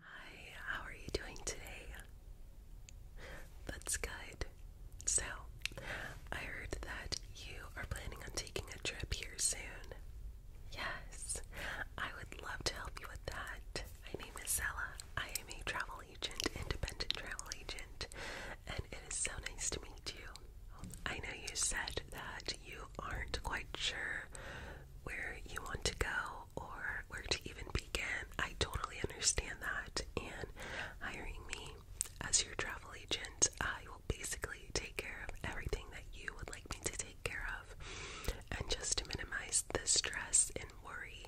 Hi, how are you doing today? That's good. So, I heard that you are planning on taking a trip here soon. Yes, I would love to help you with that. My name is Zella. I am a travel agent, independent travel agent, and it is so nice to meet you. I know you said that you aren't quite sure where you want to go or where to even begin. I totally understand that. And hiring me as your travel agent, I will basically take care of everything that you would like me to take care of. And just to minimize the stress and worry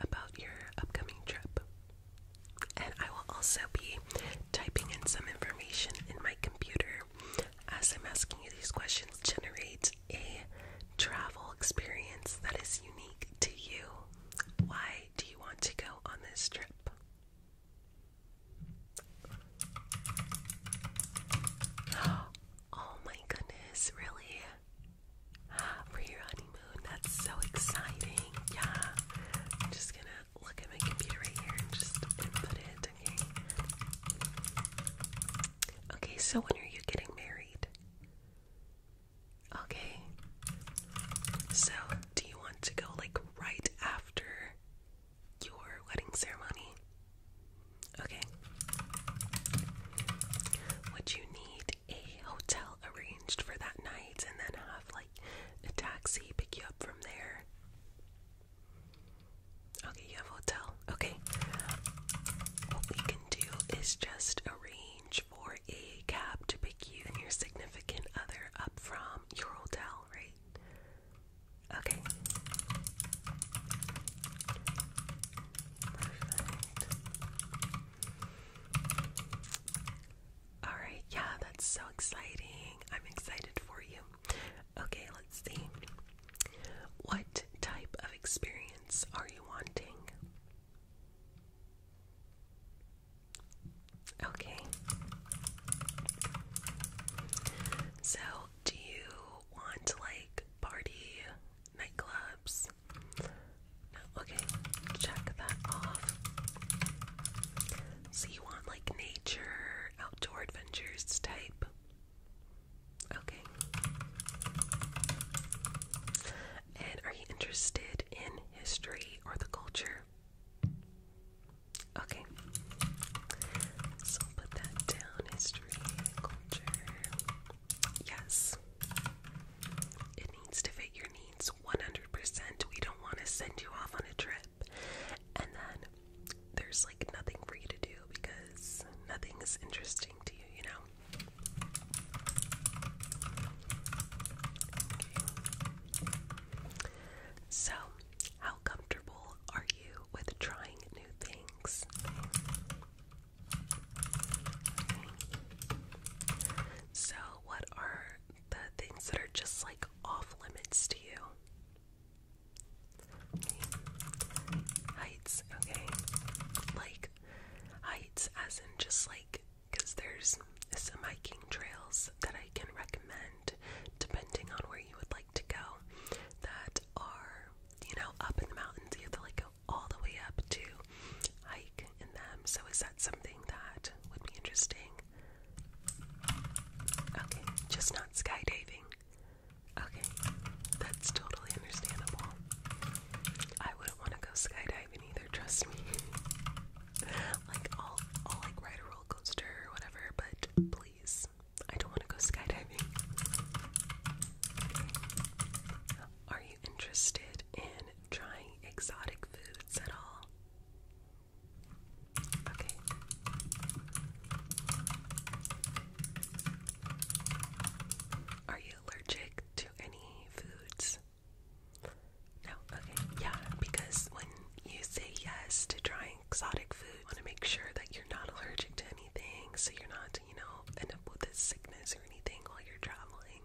about your upcoming trip. And I will also be typing in some information in my computer as I'm asking you these questions, generate a travel experience that is unique to you. Why do you want to go on this trip? Oh my goodness, really? For your honeymoon? That's so exciting. Yeah. I'm just gonna look at my computer here and just input it continuing. Okay, so when are you getting married? Okay. So, do you want to go like right after your wedding ceremony? Okay. Would you need a hotel arranged for that night and then have like a taxi pick you up from there? Okay, you have hotel. Okay. What we can do is just arrange for a cab to pick you and your significant other up from your hotel, right? Okay. Perfect. Alright, yeah, that's so exciting. I'm excited for you. Okay, let's see. What type of experience are you wanting? Okay. So, do you want like party nightclubs? No, okay, check that off. So, you want like nature, outdoor adventures type? Okay. And are you interested in history or the culture? Okay. So I'll put that down history, culture. Yes. It needs to fit your needs 100%. We don't want to send you off on a trip and then there's like nothing for you to do because nothing is interesting to you, you know? So, how comfortable are you with trying new things? So, what are the things that are just like off limits to you? Heights, okay. Like, heights as in just like, because there's some hiking trails that I can recommend depending on where you would like to go that are, you know, up in the mountains. You have to like go all the way up to hike in them. So, is that something that would be interesting? Okay, just not skydiving. Okay, that's totally understandable. I wouldn't want to go skydiving either, trust me. like, I'll, I'll like ride a roller coaster or whatever, but please, I don't want to go skydiving. Are you interested in trying exotic foods at all? Okay. Are you allergic to any foods? No, okay. Yeah, because when you say yes to trying exotic food, you want to make sure that you're not allergic to anything so you're not, you know, end up with a sickness or anything while you're traveling.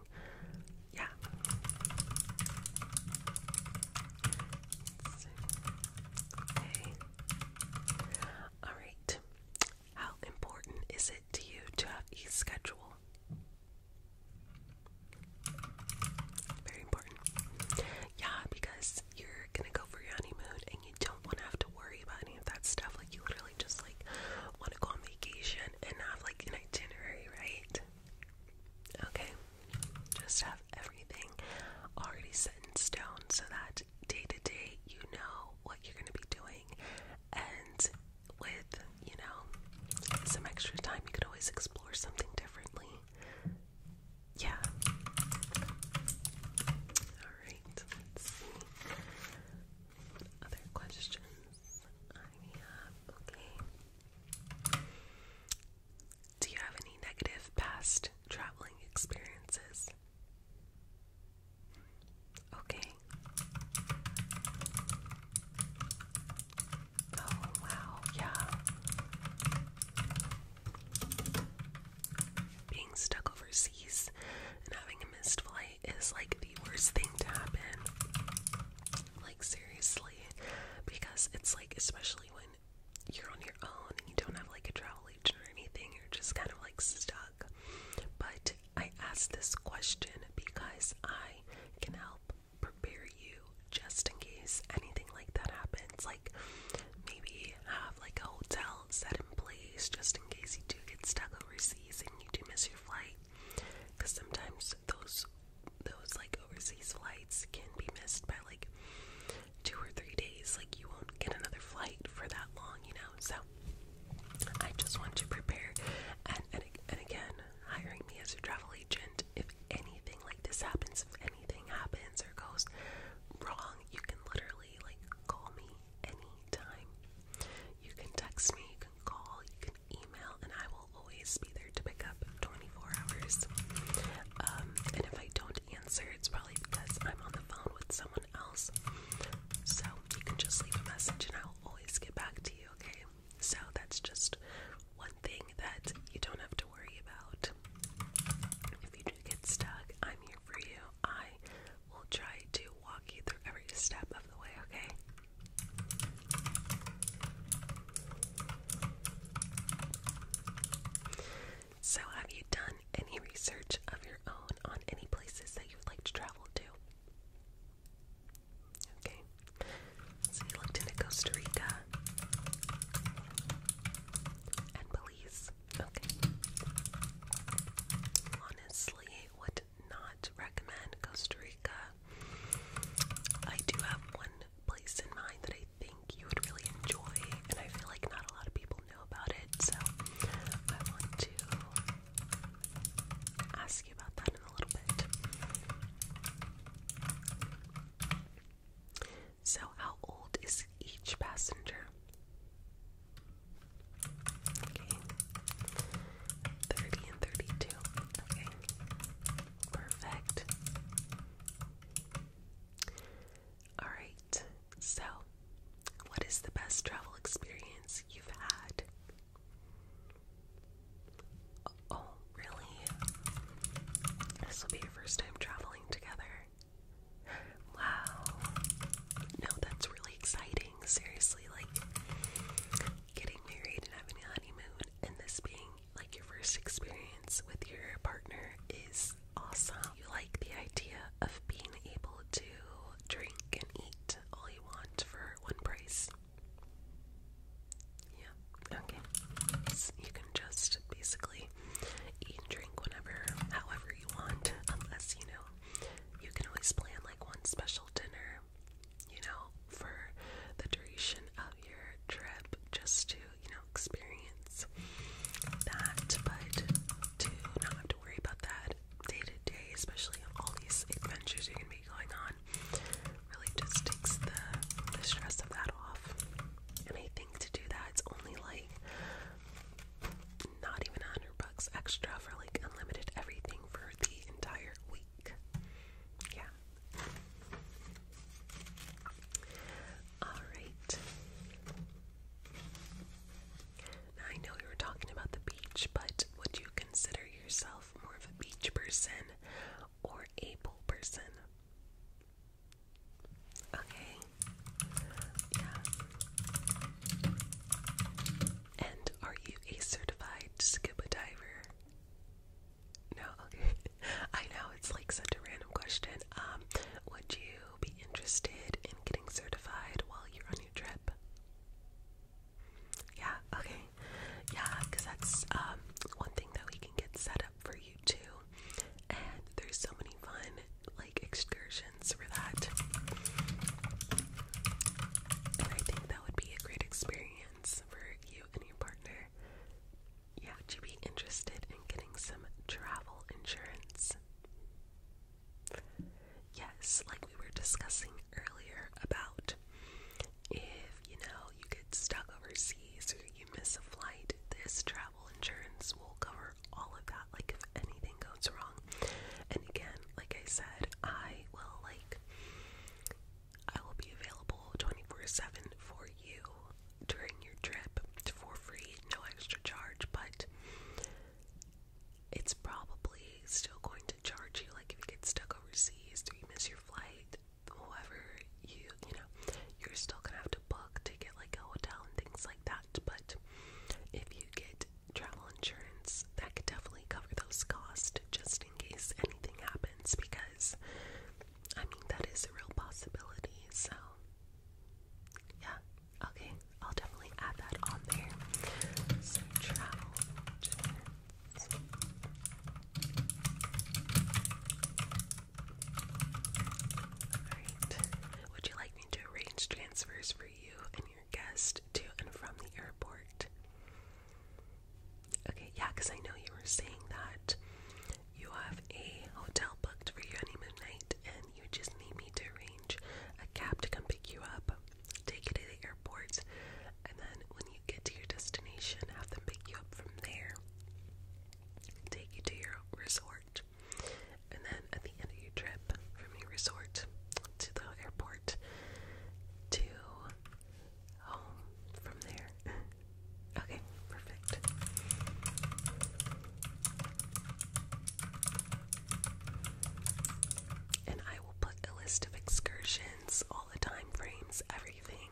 Yeah. All right. How important is it to you to have a schedule? Very important. Yeah, because you're gonna go for your honeymoon and you don't want to have to worry about any of that stuff. Like you literally just like want to go on vacation and have like an itinerary, right? Okay, just have everything already set in stone so that day to day you know what you're going to be doing. And with, you know, some extra time, you could always explore something differently. Yeah. Alright, let's see. Other questions Okay. Do you have any negative past traveling experiences? Okay. Oh, wow, yeah. Being stuck overseas and having a missed flight is like the worst thing to happen. Like, seriously. Because it's like, especially especially when you're on your own and you don't have like a travel agent or anything, you're just kind of like stuck. But I asked this question because I can help prepare you just in case anything like that happens. Like maybe have like a hotel set in place just in case you do get stuck overseas and you do miss your flight. Because sometimes those those like overseas flights can be missed by like two or three days. Like you won't get another flight for that long, you know. So I just want to prepare. And and, and again, hiring me as your travel agent, if anything like this happens, if anything happens or goes wrong, you can literally like call me anytime. You can text me, you can call, you can email, and I will always be there to pick up 24 hours. Um, and if I don't answer, it's probably because I'm on the phone with someone else. So you can just leave a message, and I will always get back to you, okay? So that's just one thing that you don't have to worry about. If you do get stuck, I'm here for you. I will try to walk you through every step of the way, okay? So, have you done any research of your own on any places that you would like to travel to? Okay. So, you looked into Costa Rica and Belize. Okay. Honestly, would not recommend Costa Rica I do have one place in mind that I think you would really enjoy, and I feel like not a lot of people know about it, so I want to ask you about that in a little bit. So, how old is each passenger? Okay. 30 and 32. Okay. Perfect. Alright, so what is the best travel experience you've had? Oh, really? This will be your first time traveling together. Wow. No, that's really exciting. Seriously, like getting married and having a honeymoon and this being like your first experience with your partner is awesome. You like the idea of being able to drink and eat all you want for one price. Yeah, okay. So you can just basically eat and drink whenever, however you want, unless you know. You can always plan like one special dinner you know, for the duration of your trip, just to, you know, experience that, but to not have to worry about that day to day, especially all these adventures you're gonna be going on, really just takes the, the stress of that off. And I think to do that, it's only like not even a hundred bucks extra for like unlimited everything for the entire week week. Yeah. Alright. Now I know we were talking about the beach, but would you consider yourself more of a beach person or a pool person? Okay. Yeah. And are you a certified scuba diver? No, I know it's like such a random question. Um, would you be interested in getting certified while you're on your trip? Yeah, okay. Yeah, because that's um one thing that we can get set up for you too. And there's so many fun like excursions for that that would be a great experience for you and your partner. Yeah, would you be interested in getting some travel insurance? Yes, like we were discussing earlier about if you know you get stuck overseas or you miss a flight, this travel insurance will cover all of that. Like if anything goes wrong, and again, like I said, I will lay I will be available 24/7 for you during your trip for free, no extra charge, but it's probably still going to charge you like if you get stuck overseas, or you miss your flight, whoever you, you know, you're still going to have to book to like a hotel and things like that, but if you get travel insurance that could definitely cover those costs just in case anything happens because I mean that is a real possibility. So yeah, okay, I'll definitely add that on there. So travel insurance. Alright. Would you like me to arrange transfers for you guest to and from the airport. Okay, yeah, because I know you were saying that you have a hotel booked for your honeymoon night, and you just need me to arrange a cab to come pick you up, take you to the airport, and then when you get to your destination, have them pick you up from there, take you to your resort, and then at the end of your trip, from your resort to the airport to home from there. Okay, perfect. And I will put a list of excursions, all the time everything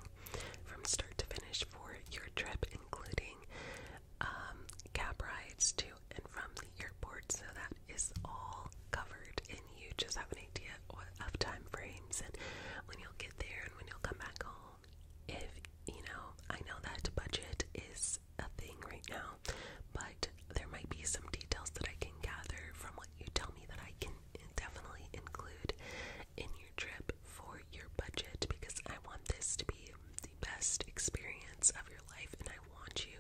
from start to finish for your trip, including um, cab rides to and from the airport, so that is all covered and you just have an idea of time frames and when you'll get there and when you'll come back home. If you know, I know that budget is a thing right now, but there might be some details that I can gather from what you tell me that I can definitely include in your trip for your budget because I want this to be the best experience of your life and I want you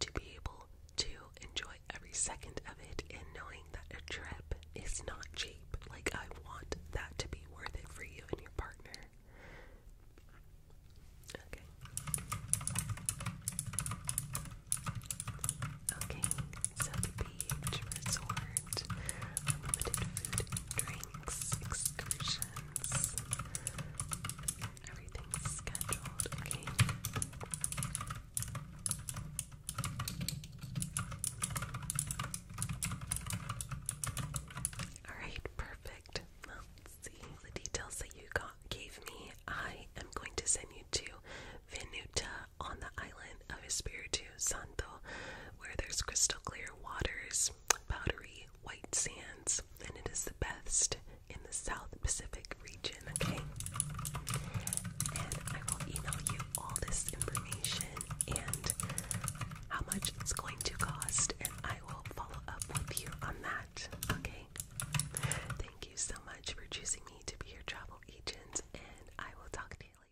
to be able to enjoy every second of it and knowing that a trip is not cheap. Like, I want that to be worth it for you and your partner. Okay. Okay, so the beach resort, unlimited food, drinks, excursions, Everything's scheduled, okay? Alright, perfect. Let's see the details that you got gave me. I am going to send you to Venuta on the island of Espiritu Santo, where there's crystal clear waters powdery white sands, and it is the best in the South Pacific region, okay? And I will email you all this information and how much it's going to cost, and I will follow up with you on that, okay? Thank you so much for choosing me to be your travel agent, and I will talk to you later.